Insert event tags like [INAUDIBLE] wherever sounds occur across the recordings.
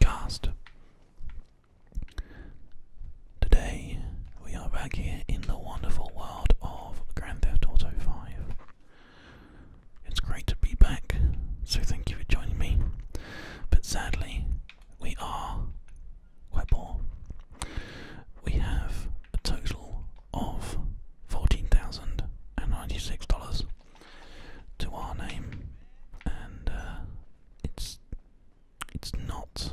cast. Today we are back here in the wonderful world of Grand Theft Auto 5. It's great to be back, so thank you for joining me. But sadly, we are quite poor. We have a total of $14,096 to our name, and uh, it's it's not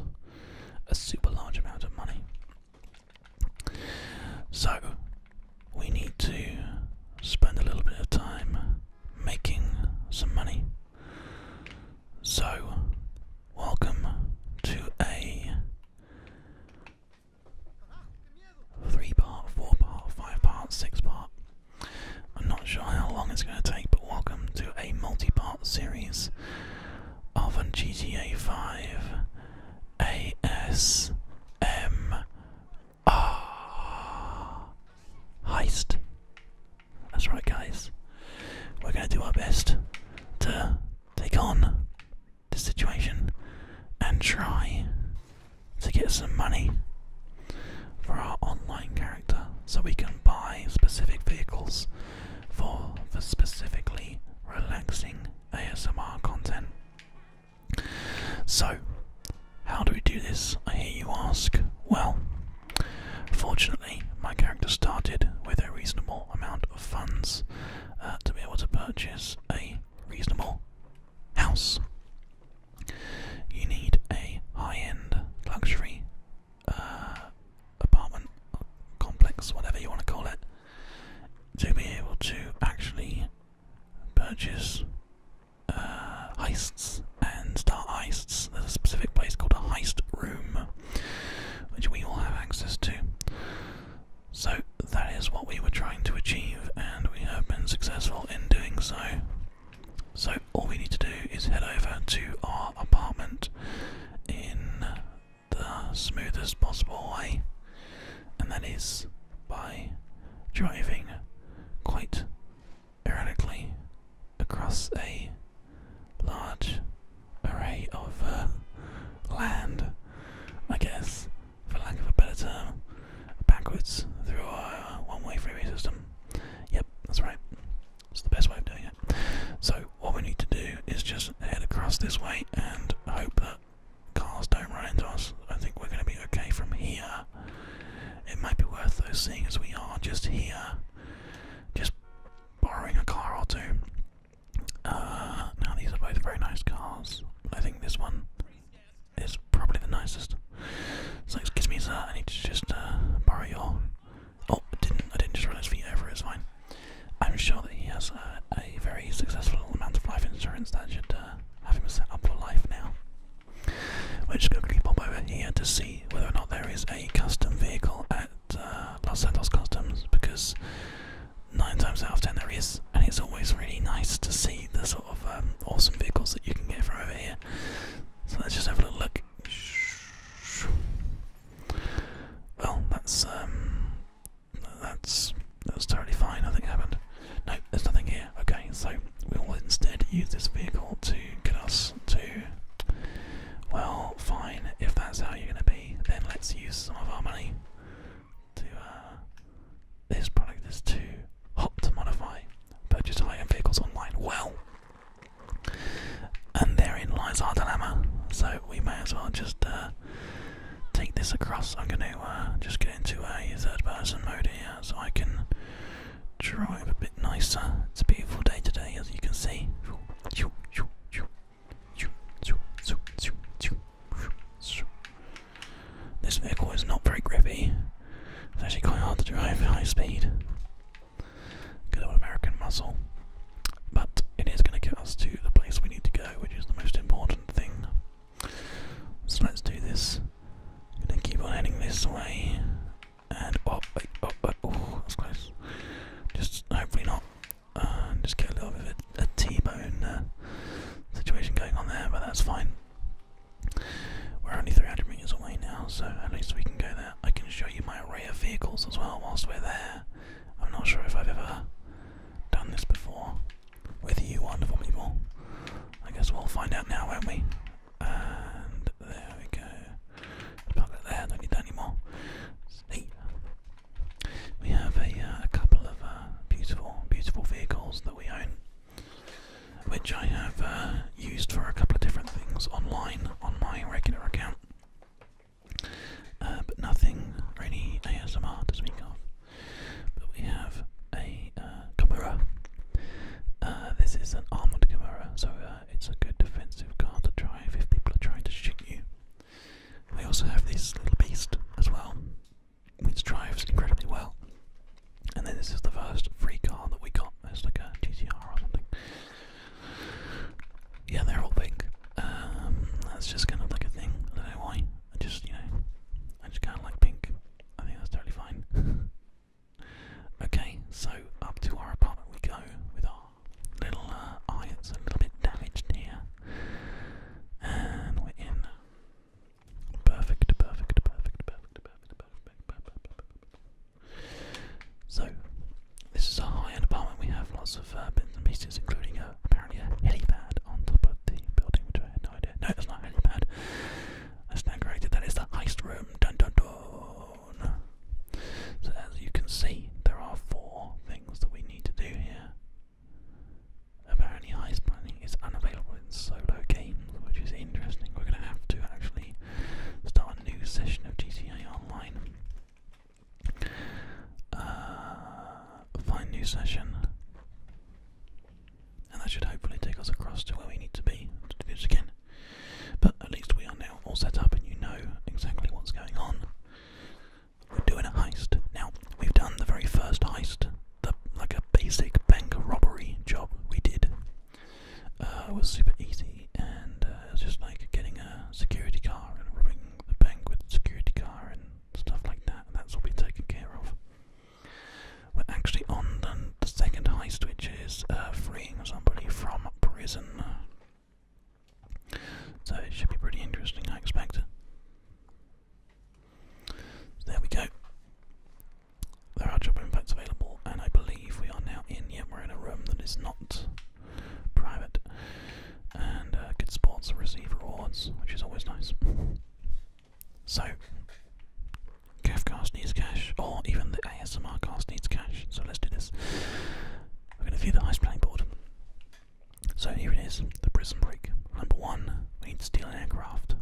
a super large amount of money. So we need to spend a little bit of time making some money. So welcome to a three part, four part, five part, six part. I'm not sure how long it's going to take, but welcome to a multi part series of a GTA 5 ASMR heist. That's right, guys. We're going to do our best to take on the situation and try to get some money for our online character so we can buy specific vehicles for the specifically relaxing ASMR content. So, how do we do this? I hear you ask. Well, fortunately, my character started with a reasonable amount of funds uh, to be able to purchase a reasonable house. You need a high-end luxury uh, apartment complex, whatever you want to call it, to be able to actually purchase uh, heists and start heists. There's a specific place called a heist room, which we all have access to. So that is what we were trying to achieve, and we have been successful in doing so. So, all we need to do is head over to our apartment in the smoothest possible way, and that is by driving quite erratically across a large array of uh, land, I guess for lack of a better term, backwards through a uh, one-way freeway system. Yep, that's right. It's the best way of doing it. So what we need to do is just head across this way and hope that cars don't run into us. I think we're going to be okay from here. It might be worth though, seeing as we are just here, just borrowing a car or two. Uh, now these are both very nice cars. I think this one is probably the nicest. So excuse me, sir. I need to just uh, borrow your. Oh, didn't. I didn't just run his feet over. It's fine. I'm sure that he has uh, a very successful amount of life insurance that should uh, have him set up for life now. We're just going to pop over here to see whether or not there is a custom vehicle at Los Santos Customs because nine times out of ten there is, and it's always really nice to see the sort of um, awesome vehicles that you can get from over here. So let's just have a little look. Well, that's um, that's that's totally fine. Nothing happened. No, there's nothing here. Okay, so we will instead use this vehicle to get us to. Well, fine. If that's how you're going to be, then let's use some of our money to uh, this product is too hot to modify. Purchase high-end vehicles online. Well, and therein lies our dilemma. So we may as well just uh, take this across. I'm going to uh, just get into a third-person mode here, so I can drive a bit nicer. It's a beautiful day today, as you can see. This vehicle is not very grippy. It's actually quite hard to drive at high speed. Good old American muscle. But it is going to get us to the place we need to go, which is the most important thing. So let's do this. going to keep on heading this way. And oh, wait, oh, oh, oh that's close. Just hopefully not. Uh, just get a little bit a a T-bone uh, situation going on there, but that's fine. We're only 300 meters away now, so at least we can go there. I can show you my array of vehicles as well whilst we're there. I'm not sure if I've ever done this before with you wonderful people. I guess we'll find out now, won't we? And there we go. Park that there, don't need that anymore. See? We have a, uh, couple of uh, beautiful, beautiful vehicles that we own, which I have uh, used for a couple of different things online on my regular account, but nothing really ASMR to speak of. But we have a camera. this is an armored camera, so it's a good defensive car to drive if people are trying to shoot you. We also have this little beast as well which drives incredibly well. And then this is the first free car that we got. It's like a GTR or something. Yeah, they're all pink. Um, that's just kind of like a thing. I don't know why. I just, you know, I just kind of like pink. I think that's totally fine. [LAUGHS] okay, so up to our apartment we go with our little uh, a little bit damaged here. And we're in Perfect, perfect, perfect, perfect, perfect, perfect, perfect, perfect. So, this is a high-end apartment. We have lots of uh, bits and pieces, including uh, apparently a helipad on top of the building, which I had no idea. No, that's not a helipad. That's not corrected. That is the heist room. Dun dun dun. So, as you can see, there are four things that we need to do here. Apparently, ice planning is unavailable in solo games, which is interesting. We're going to have to actually start a new session of GTA Online. Uh, find new session, and that should hopefully take us across to where we need to be to do this again. But at least we are now all set up, and you know exactly what's going on we're doing a heist. Now, we've done the very first heist, the, like a basic bank robbery job we did. it uh, was super easy, and uh, it was just like getting a security car and robbing the bank with the security car and stuff like that. And that's all been taking care of. We're actually on the, second heist, which is uh, freeing somebody from prison. So it should be pretty interesting, I expect. there we go. There are job impacts available, and I believe we are now in. Yet we're in a room that is not private. And uh, good sports and receive awards, which is always nice. So, caf cast needs cash, or even the ASMR cast needs cash, so let's do this. We're going to view the ice playing board. So here it is, the prison break. Number one, we need to steal an aircraft,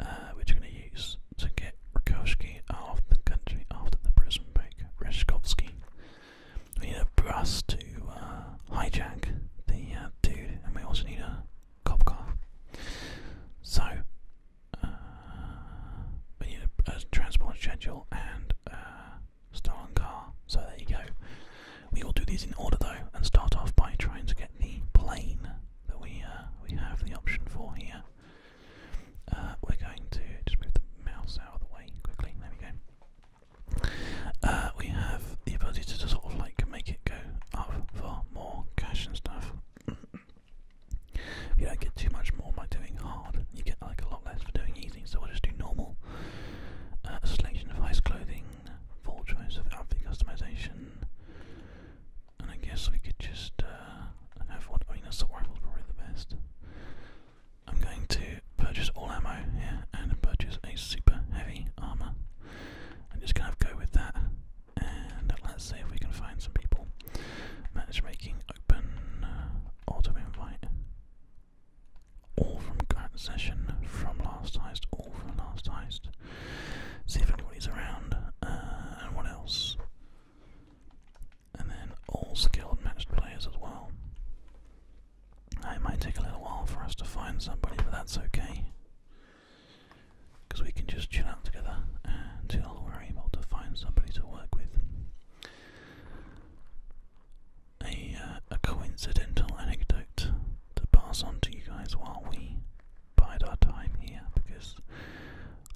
uh, which we're going to use to get Rakowski out of the country after the prison break. Reshkovsky. We need a bus to uh, hijack the uh, dude, and we also need a cop car. So, uh, we need a, a transport schedule and uh, stolen car. So there you go. We will do these in order though, and start off by trying to get the plane that we uh, we have the option for here. Uh, we're going to just move the mouse out of the way quickly. There we go. Uh, we have the ability to just sort of like make it go up for more cash and stuff. you don't get too much more by doing hard. You get like a lot less for doing easy. So we'll just do normal. Uh, selection of ice clothing, full choice of outfit customization, and I guess we could just uh, have what rifle's probably the best. I'm going to purchase all ammo here and purchase a super heavy armor. I'm just gonna go with that, and let's see if we can find some people. Matchmaking open, uh, auto invite all from current session, from last heist, all from last heist. See if anybody's around, uh, and what else? And then all skilled matched players as well. it might take a little while for us to find somebody, but that's okay. Because we can just chill out together until we're able to find somebody to work with a, uh, a coincidental anecdote to pass on to you guys while we bide our time here because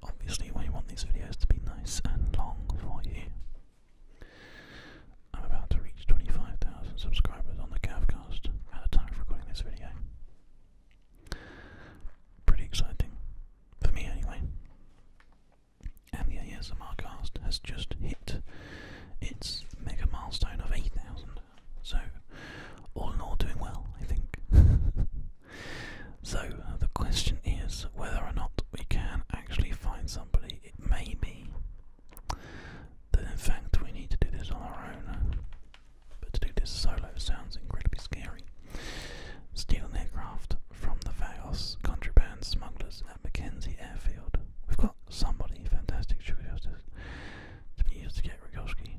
obviously we want these videos to be nice and long for you. I'm about to reach 25,000 subscribers on the Cavcast at the time of recording this video. Pretty exciting. For me, anyway and the ASMR cast has just hit its mega milestone of 8,000. So, all in all, doing well, I think. [LAUGHS] so, uh, the question is whether or not we can actually find somebody. It may be that, in fact, we need to do this on our own, uh, but to do this solo sounds incredibly scary. Steal an aircraft from the Vagos contraband smugglers Mackenzie Airfield. We've got somebody fantastic to, to be used to get Rogowski.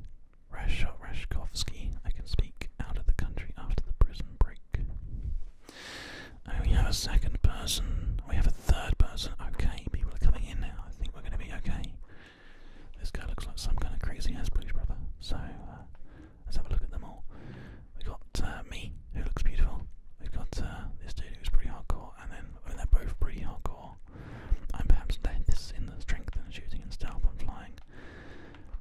Rashkovsky, I can speak out of the country after the prison break. And we have a second person. We have a third person. Okay, people are coming in now. I think we're going to be okay. This guy looks like some kind of crazy ass blues brother. So uh, let's have a look at them all. We've got uh, me, who looks beautiful. We've got uh, this dude who's pretty hardcore, and then they're both pretty hardcore. I'm perhaps this in the strength and shooting and stealth and flying,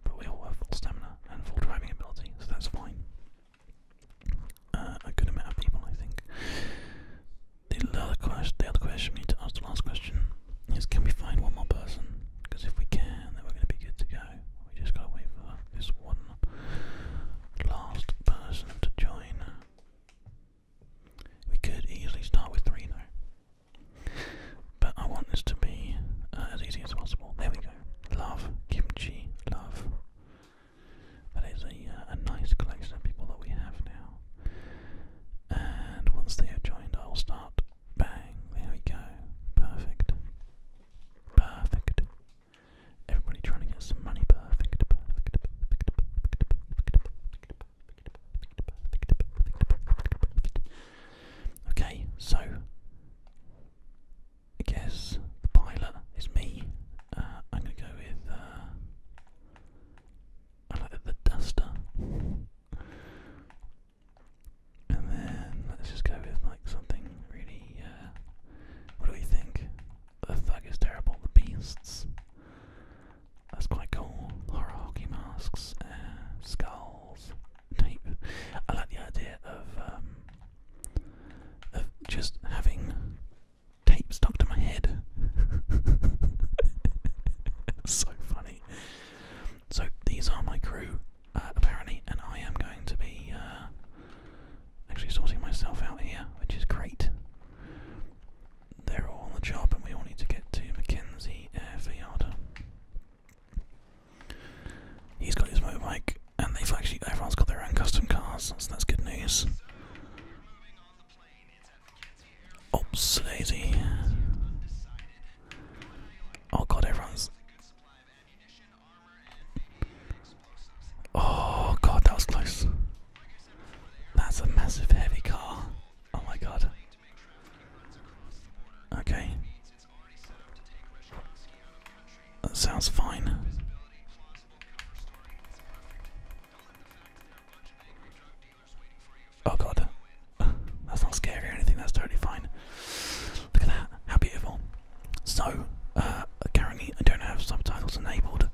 but we all have full stamina and full driving ability, so that's fine. Uh, a good amount of people, I think. The other question, the other question we need to ask, the last question, is can we find one more person? Because if we can, then we're going to be good to go we just got wait for this one last person to join. We could easily start with three now, But I want this to be uh, as easy as possible. There we go. Love, kimchi, love. That is a, uh, a nice collection of people that we have now. And once they have joined, I'll start. Bang, there we go. Perfect. Perfect. Everybody trying to get some money Okay, so I guess the pilot is me. I'm gonna go with the duster. And then let's just go with like something really. Uh, what do thug is terrible. beasts. That's quite cool. Horror hockey masks, uh, skulls, tape. I like the idea of um, of just having tape stuck to my head. [LAUGHS] so funny. So these are my crew. Uh, apparently, and I am going to be uh, actually sorting myself out here, which is great. They're all on the job, and we all need to get to Mackenzie Airfield. He's got his motorbike, and they've actually everyone's got their own custom cars, that's good news. Oops, lazy. Oh god, everyone's Oh god, that was close. That's a massive heavy car. Oh my god. Okay. That sounds fine. Oh god. [LAUGHS] That's not scary or anything, that's totally fine. Look at that, how beautiful. So, uh, currently I don't have subtitles enabled.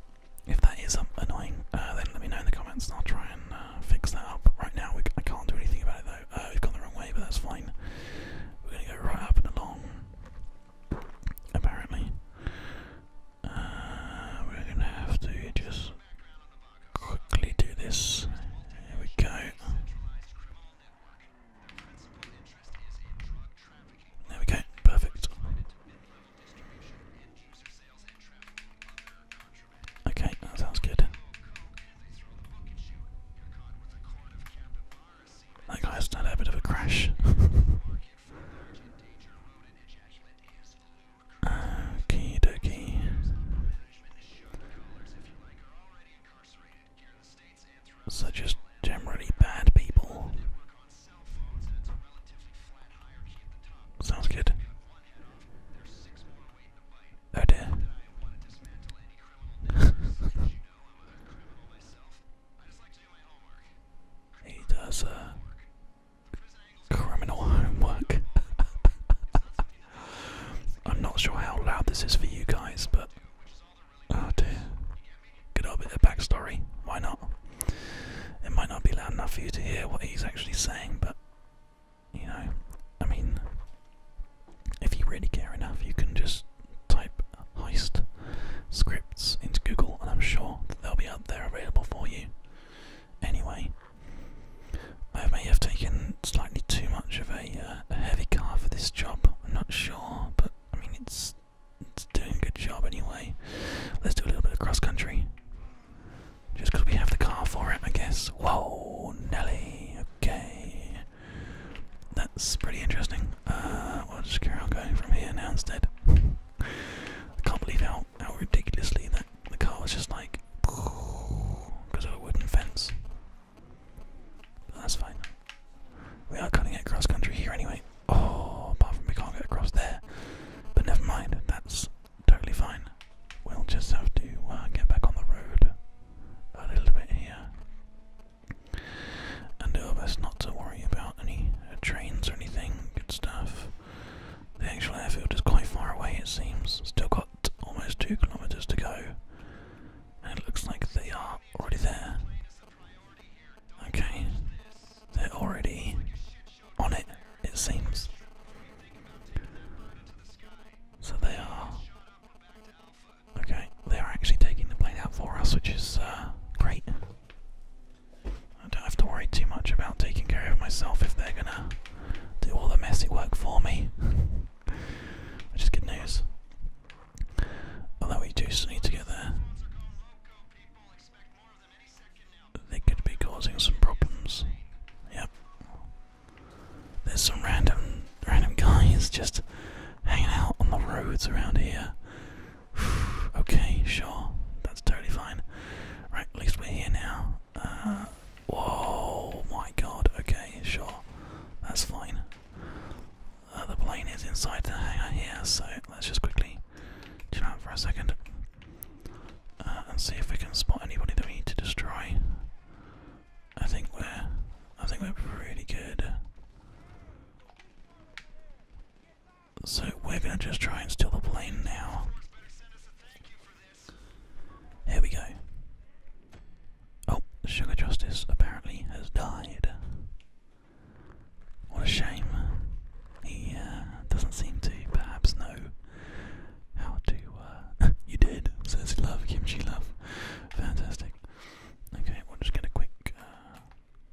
If that is um, annoying, uh, then let me know in the comments I'll try and uh, fix that up. Right now, we, I can't do anything about it though. we've gone the wrong way, but that's fine. We're going to go right up and along, apparently. we're going to have to just quickly do this. Here we go. There we go, perfect. Okay, that sounds good. That guy had a bit of a crash. [LAUGHS] Okie dokie such as generally bad people. Sounds good. Oh [LAUGHS] he does uh, criminal homework. [LAUGHS] I'm not sure how loud this is for you guys, but oh dear, get a bit of backstory. Why not? It might not be loud enough for you to hear what he's actually saying, but you know, I mean, if you really care enough, you can just type heist scripts into Google, and I'm sure they'll be out there available for you. Anyway, I may have taken slightly too much of a. Uh, a, heavy car for this job. I'm not sure, but I mean it's it's doing a good job anyway. Let's do a little bit of cross country. Just because we have the car for it, I guess. Whoa, Nelly. Okay, that's pretty interesting. Uh, we'll just carry on going from here now instead. I can't believe how how ridiculously that the car was just like because of a wooden fence that's fine. We are cutting it cross country here anyway. Oh, apart from we can't get across there. But never mind, that's totally fine. We'll just have to uh, get back on the road a little bit here. And do our best not to worry about any uh, trains or anything. Good stuff. The actual airfield is quite far away, it seems. Still got almost two kilometres to go it looks like they are already there. Okay. They're already on it, it seems. So they are. Okay, they are actually taking the plane out for us, which is uh, great. I don't have to worry too much about taking care of myself if they're gonna do all the messy work for me. Which is good news. Although oh, we do still need to get there. They could be causing some problems. Yep. There's some random random guys just hanging out on the roads around here. [SIGHS] okay, sure. That's totally fine. Right, at least we're here now. Uh, Whoa, my god. Okay, sure. That's fine. Uh, the plane is inside the hangar here, so let's just quickly chill out for a second uh, and see if we can spot anybody that we need to destroy. I think we're, I think we're pretty good. So we're gonna just try and steal the plane now. Here we go. Oh, Sugar Justice apparently has died. What a shame. He uh, doesn't seem to perhaps know how to. Uh, [LAUGHS] you did, says Love, Kimchi Love. Fantastic. Okay, we'll just get a quick, uh,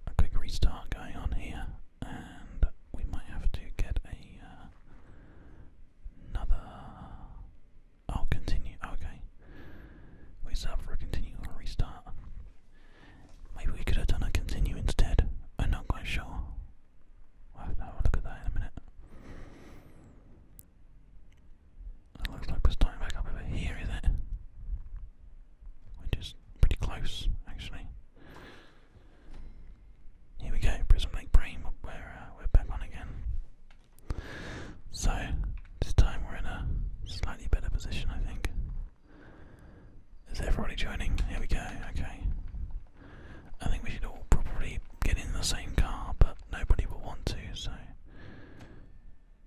a quick restart going on here, and we might have to get another. Oh, continue. Okay. We sub for a continue or restart. Maybe we could have done a continue instead. I'm not quite sure. We'll have a look at that in a minute. It looks like we're starting back up over here, is it? Which is pretty close, actually. Here we go, Prison Lake Brain. We're uh, we're back on again. So, this time we're in a slightly better position, I think. Is everybody joining? Here we go, okay. I think we should all probably get in the same car, but nobody will want to, so.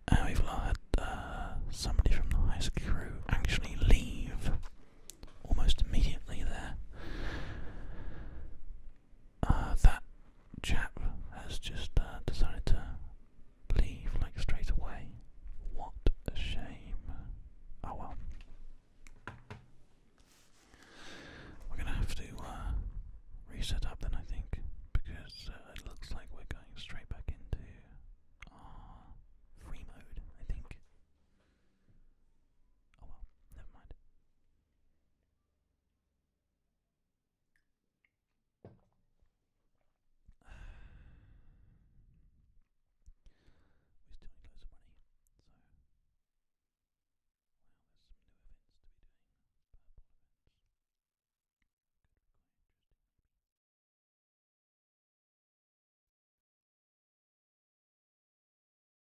And we've had uh, somebody from the high school crew actually leave almost immediately there. Uh, that chap has just uh, decided to leave like straight away. What a shame. Oh well. We're gonna have to uh, reset up then, I think, because it looks like we're going straight back into our free mode, I think. Oh well, never mind. We still need loads money, so there's some new events to be doing. Purple events. Could be quite interesting